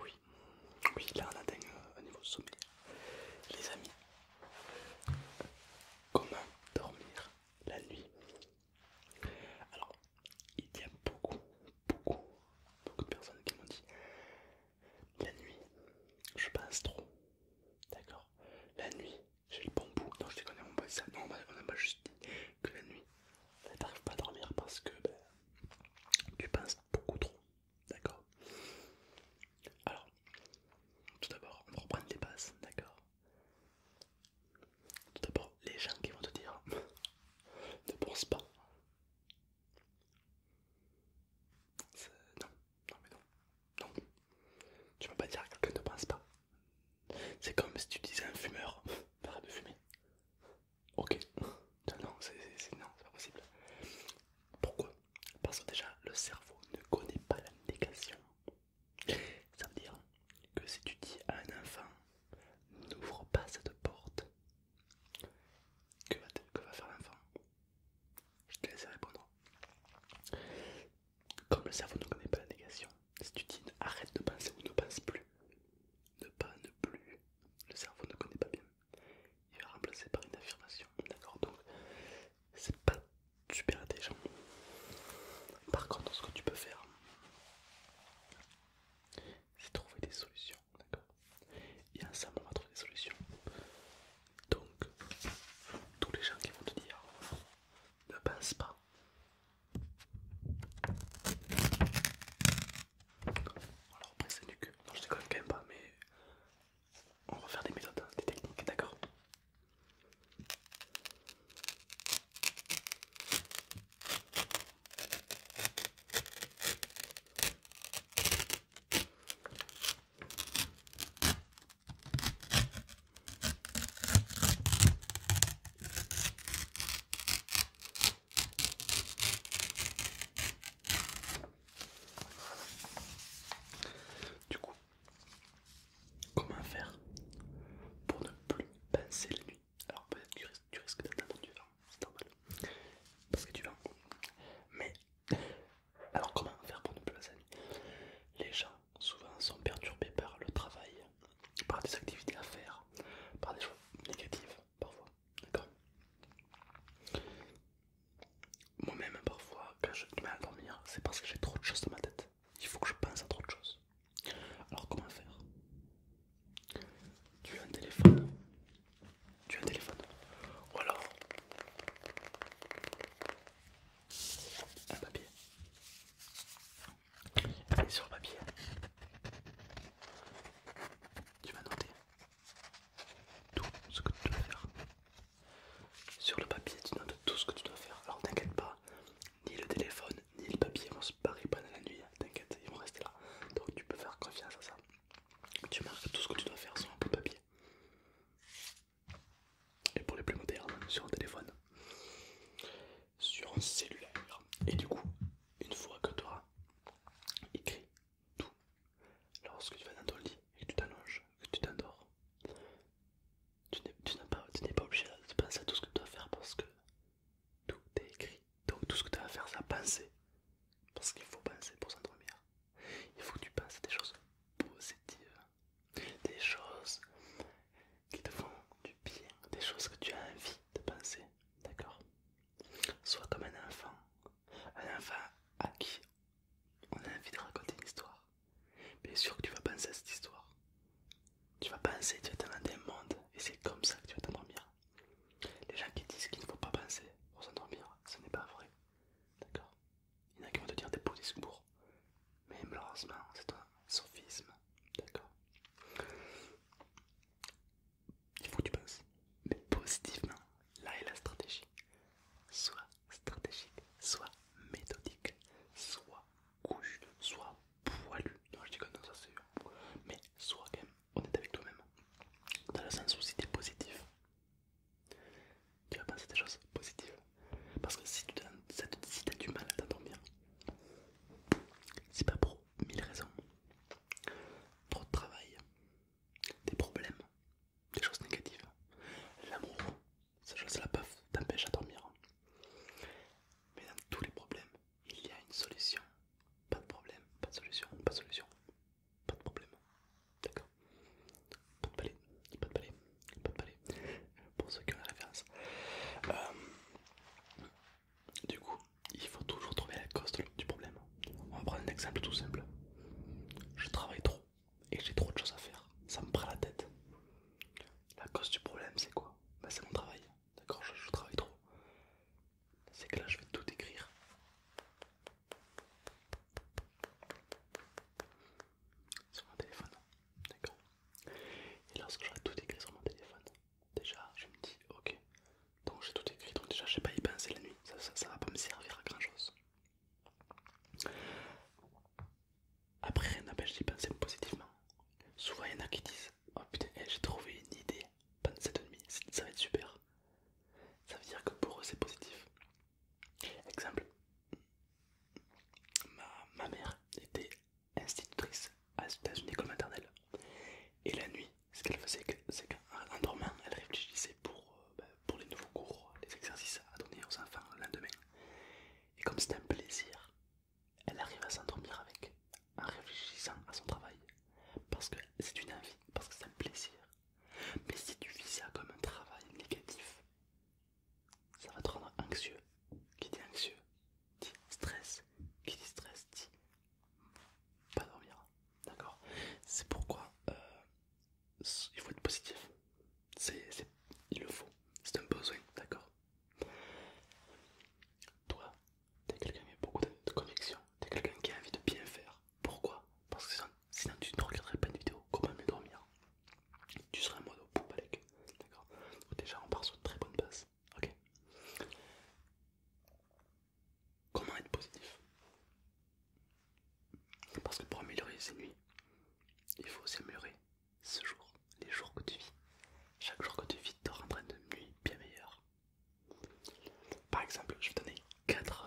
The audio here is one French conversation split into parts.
Oui, oui, là on atteint euh, un niveau sommeil. Les amis, comment dormir la nuit Alors, il y a beaucoup, beaucoup, beaucoup de personnes qui m'ont dit la nuit, je passe trop. D'accord La nuit, j'ai le bon bout. Non, je déconne, on pas Non, on a pas juste dit que la nuit, t'arrives pas à dormir parce que ben, tu penses beaucoup trop. D'accord Alors, tout d'abord, on va reprendre les bases. D'accord Tout d'abord, les gens qui vont te dire ne pense pas. Non, non, mais non. Non. Tu vas pas dire que quelqu'un ne pense pas. C'est comme si tu disais un fumeur, arrête de fumer. Ok. Non, c'est pas possible. Pourquoi Parce que déjà, le cerveau ne connaît pas la négation. Ça veut dire que si tu dis à un enfant, n'ouvre pas cette porte, que va faire l'enfant Je te laisse répondre. Comme le cerveau ne connaît pas la négation, si tu dis arrête de penser ou ne pense plus, ne pas, ne plus, le cerveau ne connaît pas bien. Il va remplacer par une affirmation, d'accord Donc, c'est pas super intelligent. Par contre, ce que tu peux faire, c'est trouver des solutions, d'accord Et ensemble, on va trouver des solutions. Donc, tous les gens qui vont te dire ne pense pas, alors après c'est que Non je déconne quand même pas mais on va faire des méthodes, hein, des techniques, d'accord du coup, comment faire pour ne plus pincer la nuit Alors peut-être que tu risques d'entendre du vent, c'est normal, parce que tu vends. Mais alors comment faire pour ne plus passer la nuit Les gens souvent sont perturbés par le travail, par des activités à faire, par des choses négatives parfois. D'accord Moi-même, parfois, quand je du mal à dormir, c'est parce que j'ai trop de choses dans ma tête. Il faut que je pense à trop de choses. Alors, comment faire Tu as un téléphone Tu as un téléphone Ou alors un papier. Et sur le papier, tu vas noter tout ce que tu dois faire. Sur le papier, tu notes tout ce que tu dois faire. Alors t'inquiète pas, ni le téléphone, ni le papier vont se barrer pendant la nuit. T'inquiète, ils vont rester là. Donc tu peux faire confiance à ça. Tu marques tout ce que tu dois faire sur un de papier et pour les plus modernes sur un téléphone, sur un cellulaire. Et du coup, une fois que tu auras écrit tout, lorsque tu vas dans ton lit et que tu t'allonges, que tu t'endors, tu n'es pas, obligé de penser à tout ce que tu dois faire parce que tout est écrit. Donc tout ce que tu vas à faire, c'est à penser. Parce qu'il faut penser pour s'endormir. Il faut que tu penses à des choses positives des choses qui te font du bien, des choses que tu as envie de penser, d'accord Sois comme un enfant, un enfant à qui on a envie de raconter une histoire. Bien sûr que tu vas penser à cette histoire. Tu vas penser, tu vas t'inventer un monde et c'est comme ça que tu vas t'endormir. Les gens qui disent qu'il ne faut pas penser pour s'endormir, ce n'est pas vrai. D'accord il n'y a qu'à te dire des beaux discours. Mais malheureusement, c'est un sophisme. D'accord Il faut que tu penses. Mais positivement, là est la stratégie. Soit stratégique, soit méthodique, soit couche, soit poilu. Non, je dis non ça, c'est Mais soit quand même honnête avec toi-même. Dans le sens où si t'es positif, tu vas penser des choses positives. Parce que si tu as, si as du mal à t'endormir, c'est pas pour mille raisons. Trop de travail, des problèmes, des choses négatives, l'amour, ces choses-là peuvent t'empêcher à dormir. Mais dans tous les problèmes, il y a une solution. Pas de problème, pas de solution, pas de solution, pas de problème. D'accord pas de palais, pas de palais, pas de palais. Pour ceux qui ont la référence. Euh, du coup, il faut toujours trouver la cause du problème. On va prendre un exemple tout simple. Je travaille trop et j'ai trop de choses à faire. Ça me prend la tête. La cause du problème, c'est quoi bah C'est mon travail. D'accord je, je travaille trop. C'est que là, je vais tout écrire. Sur mon téléphone. D'accord et lorsque j'aurai tout écrit sur mon téléphone, déjà je me dis ok, donc j'ai tout écrit, donc déjà je sais pas y penser la nuit, ça, ça, va pas me servir à grand chose. Après rien n'empêche d'y penser positivement. Souvent il y en a qui disent oh putain eh, j'ai trouvé une idée pendant cette nuit, ça va être super. Ça veut dire que pour eux c'est positif. Exemple, Ma, mère était institutrice à, dans une école maternelle. Et la nuit, ce qu'elle faisait, c'est qu'en dormant, elle réfléchissait euh, bah, pour, les nouveaux cours, les exercices à donner aux enfants le lendemain. Et comme c'est un plaisir, elle arrive à s'endormir avec, en réfléchissant à son travail. Parce que c'est une envie, parce que c'est un plaisir. Mais si tu vis ça comme un travail négatif, ça va te rendre anxieux. Qui dit anxieux dit stress. Qui dit stress dit pas dormir. D'accord C'est pourquoi euh, il faut être positif. il le faut. C'est un besoin, d'accord Toi, t'es quelqu'un qui a beaucoup de conviction. T'es quelqu'un qui a envie de bien faire. Pourquoi Parce que sinon, tu ne regarderais pas de vidéo. Comment mieux dormir tu serais en mode d'accord Déjà, on part sur une très bonne base, ok Comment être positif Parce que pour améliorer ces nuits, il faut améliorer ce jour, les jours que tu vis. Chaque jour que tu vis te rendra une nuit bien meilleure. Par exemple, je vais donner 4,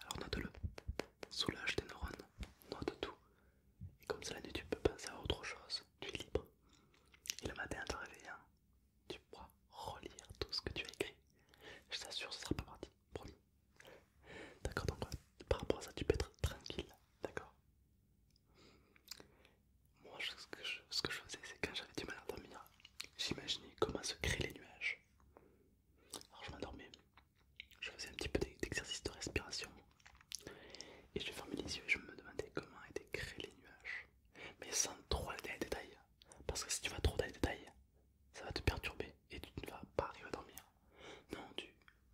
alors note-le, soulage tes neurones, note tout. Et comme ça la nuit tu peux penser à autre chose, tu es libre. Et le matin en te réveillant, hein. tu pourras relire tout ce que tu as écrit. Je t'assure, ça sera pas parti, promis. D'accord, donc euh, par rapport à ça, tu peux être tranquille, d'accord Moi, ce que je, ce que je faisais, c'est quand j'avais du mal à dormir, j'imaginais comment se créent les nuages. Alors je m'endormais, je faisais un petit peu d'exercice de respiration et je fermais les yeux et je me demandais comment étaient créés les nuages. Mais sans trop aller dans les détails, parce que si tu vas trop dans les détails, ça va te perturber et tu ne vas pas arriver à dormir. Non, tu,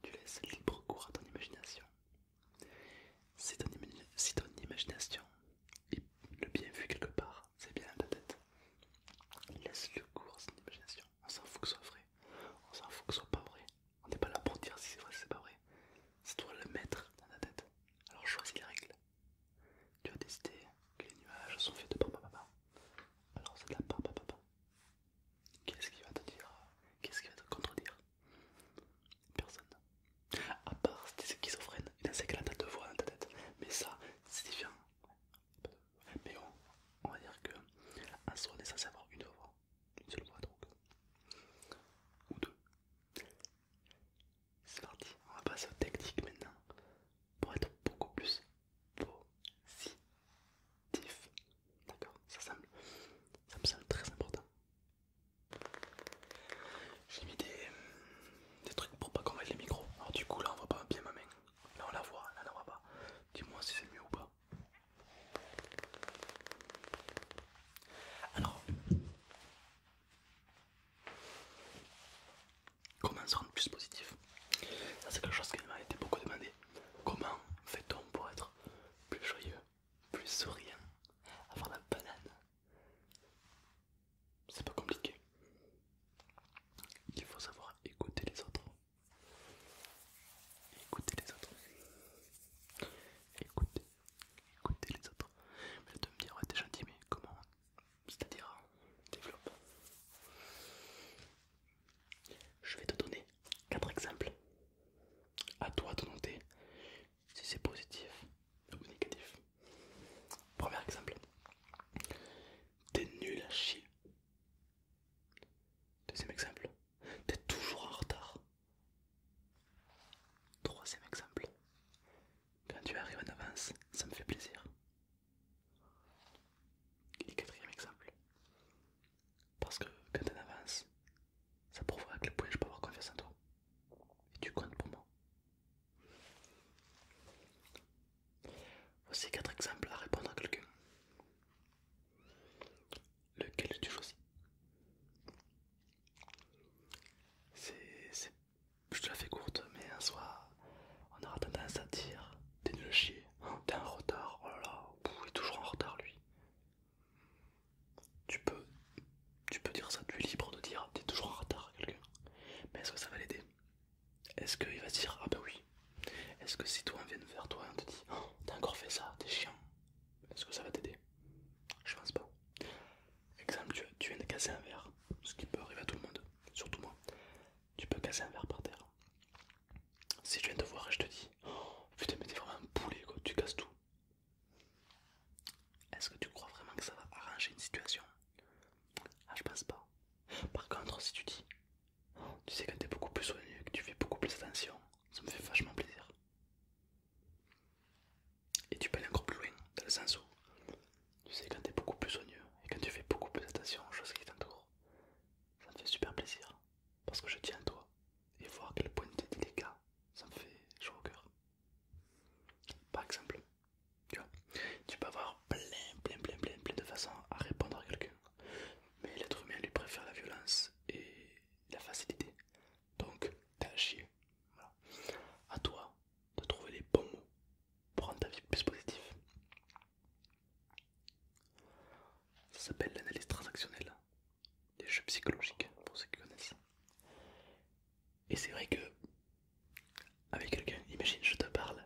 laisses libre cours à ton imagination. C'est ton, si ton imagination est le bien vu quelque part, c'est bien dans ta tête. Laisse le cours à son imagination. On s'en fout que ce soit vrai. On s'en fout que ce soit pas vrai. On n'est pas là pour dire si c'est vrai, si c'est pas vrai. C'est toi le maître dans ta tête. Alors choisis les règles. Tu as décidé que les nuages sont faits de papa papa. Alors c'est de la papa papa. Qu'est-ce qui va te dire Qu'est-ce qui va te contredire Personne. À part si t'es schizophrène, il y a un de voix dans ta tête. Mais ça, c'est différent. Mais on, va dire que un son est censé avoir une voix, une seule voix donc, ou deux. C'est parti, on va passer aux techniques maintenant pour être beaucoup plus positif. D'accord ça, ça me semble très important. J'ai mis des, des trucs pour pas qu'on les micros. Alors du coup là on voit pas bien ma main. Là on la voit, là on la voit pas. Dis-moi si c'est mieux ou pas. Alors comment se rendre plus positif Ça c'est quelque chose qui m'a été beaucoup demandé. Comment fait-on pour être plus joyeux, plus souriant, avoir la banane c'est pas compliqué. Il faut savoir écouter les autres. Écouter les autres. Écouter. Écouter les autres. Mais de me dire, ouais, t'es gentil, mais comment C'est-à-dire, développe. Je vais te donner quatre exemples. À toi de noter si c'est positif ou négatif. Premier exemple. T'es nul à chier. Deuxième exemple. T'es toujours en retard. Troisième exemple. Quand tu arrives en avance, ça me fait plaisir. Et quatrième exemple. Parce que quand t'es en avance, ça prouve à quel point je peux avoir confiance en toi. Et tu comptes pour moi. Voici quatre exemples à répondre à quelqu'un. Lequel tu choisis C'est, Je te la fais courte, mais en soi, on aura tendance à dire T'es nul chier, hein, t'es en retard, oh là il est toujours en retard lui. Tu peux, tu peux dire ça, tu es libre de dire T'es toujours en retard à quelqu'un, mais est-ce que ça va l'aider est-ce qu'il va dire Ah bah ben oui Est-ce que si toi on vient de faire toi et on te dit oh, T'as encore fait ça, t'es chiant Est-ce que ça va t'aider Je pense pas. Exemple, tu, tu viens de casser un verre, ce qui peut arriver à tout le monde, surtout moi. Tu peux casser un verre par terre. Si je viens de te voir et je te dis Oh putain, mais t'es vraiment un poulet quoi, tu casses tout. Est-ce que tu crois vraiment que ça va arranger une situation Ah, je pense pas. Par contre, si tu dis, tu sais que t'es beaucoup plus soigné, que tu fais beaucoup plus attention, ça me fait vachement plaisir. Et tu peux aller encore plus loin, dans le sens où tu sais quand t'es beaucoup plus soigneux et quand tu fais beaucoup plus attention aux choses qui t'entourent, ça me fait super plaisir parce que je tiens à toi et voir à quel point de délicat, ça me fait chaud au cœur. Par exemple, tu peux avoir plein, plein, plein, plein, plein de façons à répondre à quelqu'un, mais l'être humain lui préfère la violence et la facilité. Donc, t'as à chier. Voilà. À toi de trouver les bons mots pour rendre ta vie plus positive. Ça s'appelle l'analyse transactionnelle des jeux psychologiques pour ceux qui connaissent. Et c'est vrai que avec quelqu'un, imagine je te parle,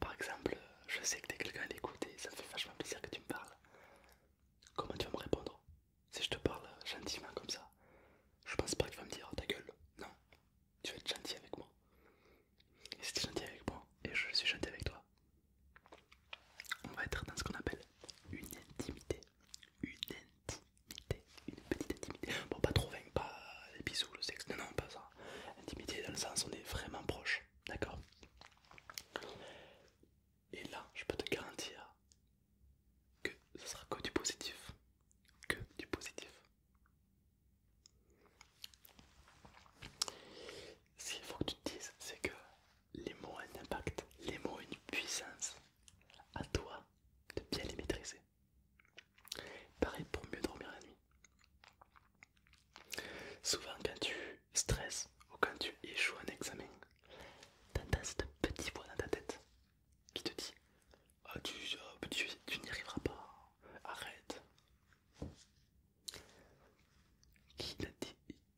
par exemple, je sais que t'es quelqu'un à l'écouter, ça me fait vachement plaisir que tu me parles. Comment tu vas me répondre Si je te parle gentiment comme ça, je pense pas que tu vas me dire oh, ta gueule, non, tu vas être gentil avec moi. Et si tu es gentil avec moi, et je suis gentil avec toi, on va être dans ce qu'on appelle une intimité. Une intimité une petite intimité. Bon, pas trop, vainque, pas les bisous, le sexe, non, non, pas ça. Intimité dans le sens, on est vraiment proche, d'accord Et là, je peux te garantir que ce sera que du positif, que du positif. Ce qu'il faut que tu te dises, c'est que les mots ont un impact, les mots ont une puissance. À toi de bien les maîtriser. Pareil pour mieux dormir la nuit. Souvent quand tu stresses ou quand tu échoues un examen, t'entends cette petite voix dans ta tête qui te dit ah, ah, tu, n'y arriveras pas, arrête.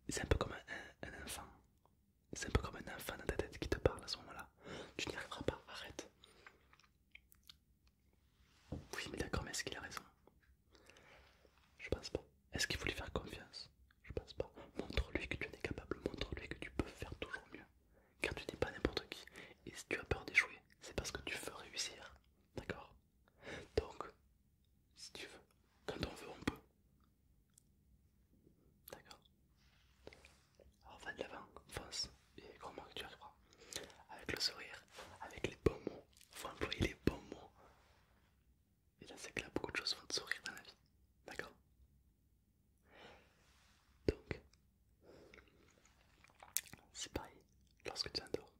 C'est un peu comme un enfant. C'est un peu comme un enfant dans ta tête qui te parle à ce moment-là. Tu n'y arriveras pas, arrête. Oui, mais d'accord, mais est-ce qu'il a raison Je pense pas. Est-ce qu'il voulait faire confiance Je pense pas. Montre-lui que tu en es capable, montre-lui que tu peux faire toujours mieux. Car tu n'es pas n'importe qui. Et si tu as peur d'échouer, c'est parce que tu veux réussir. D'accord Donc, si tu veux, quand on veut, on peut. D'accord alors oh, va de l'avant, fonce, et crois-moi que tu arriveras. Avec le sourire, avec les bons mots, il faut employer les bons mots. Et là c'est que là beaucoup de choses vont te sourire dans la vie. D'accord Donc, c'est pareil, lorsque tu endors.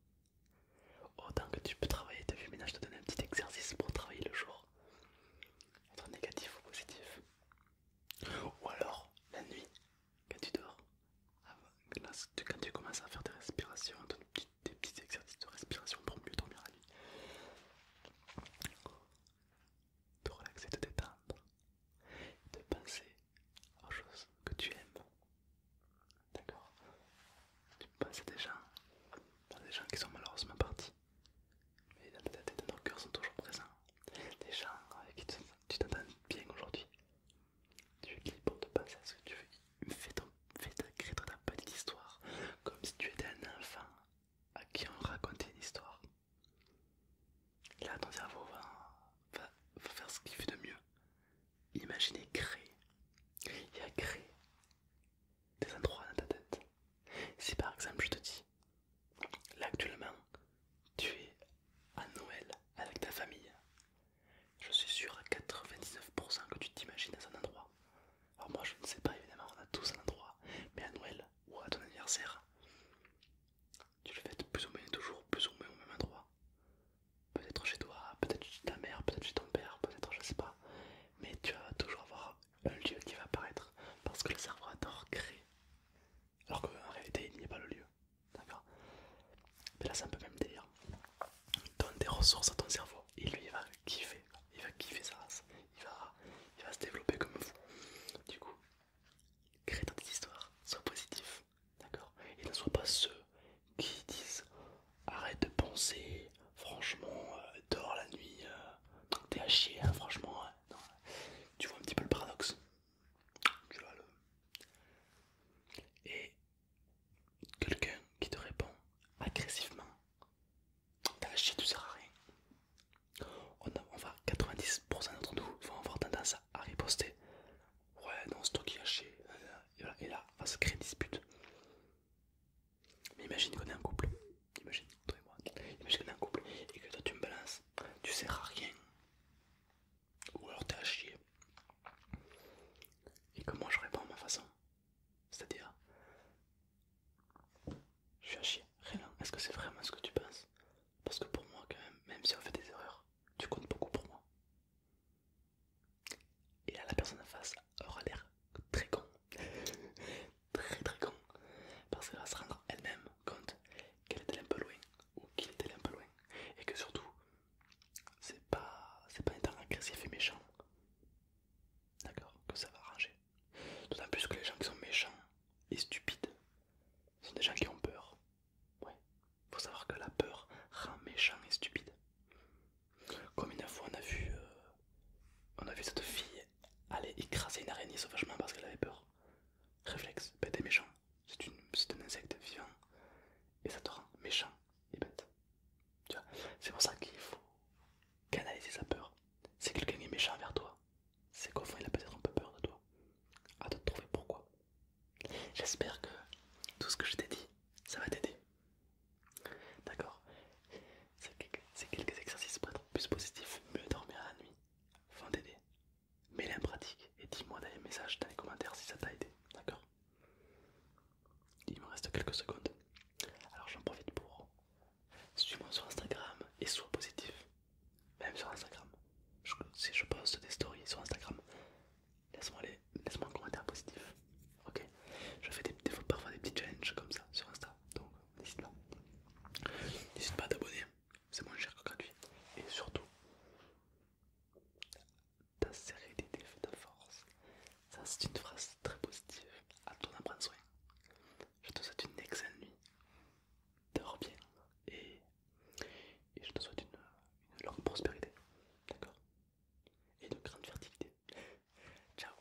Autant que tu peux travailler ta vu, je te donne un petit exercice pour travailler le jour. Être négatif ou positif. Ou alors la nuit, quand tu dors, quand tu commences à faire des respirations, des petits exercices de respiration pour mieux dormir la nuit, te relaxer, te détendre, de penser aux choses que tu aimes. D'accord Tu penses à des gens, des gens qui sont malheureusement partis, mais dans ta tête dans nos cœurs sont toujours présents. Des gens avec euh, qui tu t'entends bien aujourd'hui Tu es libre de penser à ce que tu veux. Fais, ta, petite histoire comme si tu étais un enfant à qui on racontait une histoire. Là, ton cerveau va, va, faire ce qu'il fait de mieux. Imaginez créer. Il y a créé des endroits dans ta tête. Si par exemple je te dis, là actuellement, tu es à Noël avec ta famille. Je suis sûr à 99% que tu t'imagines à un endroit. Alors moi je ne sais pas évidemment, on a tous un endroit, mais à Noël ou à ton anniversaire, tu le fêtes plus ou moins toujours, plus ou au même endroit. Peut-être chez toi, peut-être chez ta mère, peut-être chez ton père, peut-être je sais pas. Mais tu vas toujours avoir un lieu qui va apparaître parce que le cerveau adore créer. Alors qu'en réalité il n'y a pas le lieu. D'accord Mais là, ça un peu même délire. Donne des ressources à ton cerveau et lui, il va kiffer. Il va kiffer sa race. Il va, se développer comme vous. Du coup, crée toi des histoires. Sois positif. D'accord Et ne sois pas ceux qui disent arrête de penser. Franchement, euh, dors la nuit. Euh, tant que t'es à chier, hein, franchement. Euh, non. Tu vois un petit peu le paradoxe et quelqu'un qui te répond agressivement t'as la chier tu sers à rien on, va 90% d'entre nous vont avoir tendance à riposter ouais non c'est toi qui as et, là va se créer une dispute mais imagine qu'on est en couple imagine toi et moi imagine est couple et que toi tu me balances tu sers à rien ou alors t'es à chier. Et comment je réponds à ma façon C'est-à-dire, je suis à chier. Rien, est-ce que c'est vraiment ce que tu penses Parce que pour moi, quand même, même si on fait des erreurs, tu comptes beaucoup pour moi. Et là, la personne en face aura l'air très con. très très con. Parce qu'elle va se rendre elle-même compte qu'elle est allée un peu loin ou qu'il était allé un peu loin et que surtout c'est pas c'est pas étant agressif et méchant d'accord que ça va ranger d'autant plus que les gens qui sont méchants et stupides sont des gens qui ont peur ouais faut savoir que la peur rend méchant et stupide comme une fois on a vu euh, on a cette fille aller écraser une araignée sauvagement parce qu'elle avait peur réflexe bête t'es méchant c'est un insecte vivant et ça te rend méchant et bête. C'est pour ça qu'il faut canaliser sa peur. Si quelqu'un est méchant vers toi, c'est qu'au fond il a peut-être un peu peur de toi. À te trouver pourquoi. J'espère que tout ce que je t'ai dit, ça va t'aider. D'accord C'est quelques exercices pour être plus positif, mieux dormir la nuit, vont t'aider mets-les en pratique et dis-moi dans les messages, dans les commentaires si ça t'a aidé, d'accord Il me reste quelques secondes. Alors j'en profite pour suis-moi sur Instagram et sois positif. Même sur Instagram. si je poste des stories sur Instagram, laisse-moi laisse un commentaire positif. Ok Je fais des, des, parfois des petits challenges comme ça sur Insta. Donc n'hésite pas. N'hésite pas à t'abonner c'est moins cher que gratuit. Et surtout, ta sérénité fait de force. Ça, c'est une phrase très positive. À toi d'en prendre soin. Je te souhaite une excellente nuit. Dors bien. Et, je te souhaite une, longue prospérité. D'accord Et de grande fertilité. Ciao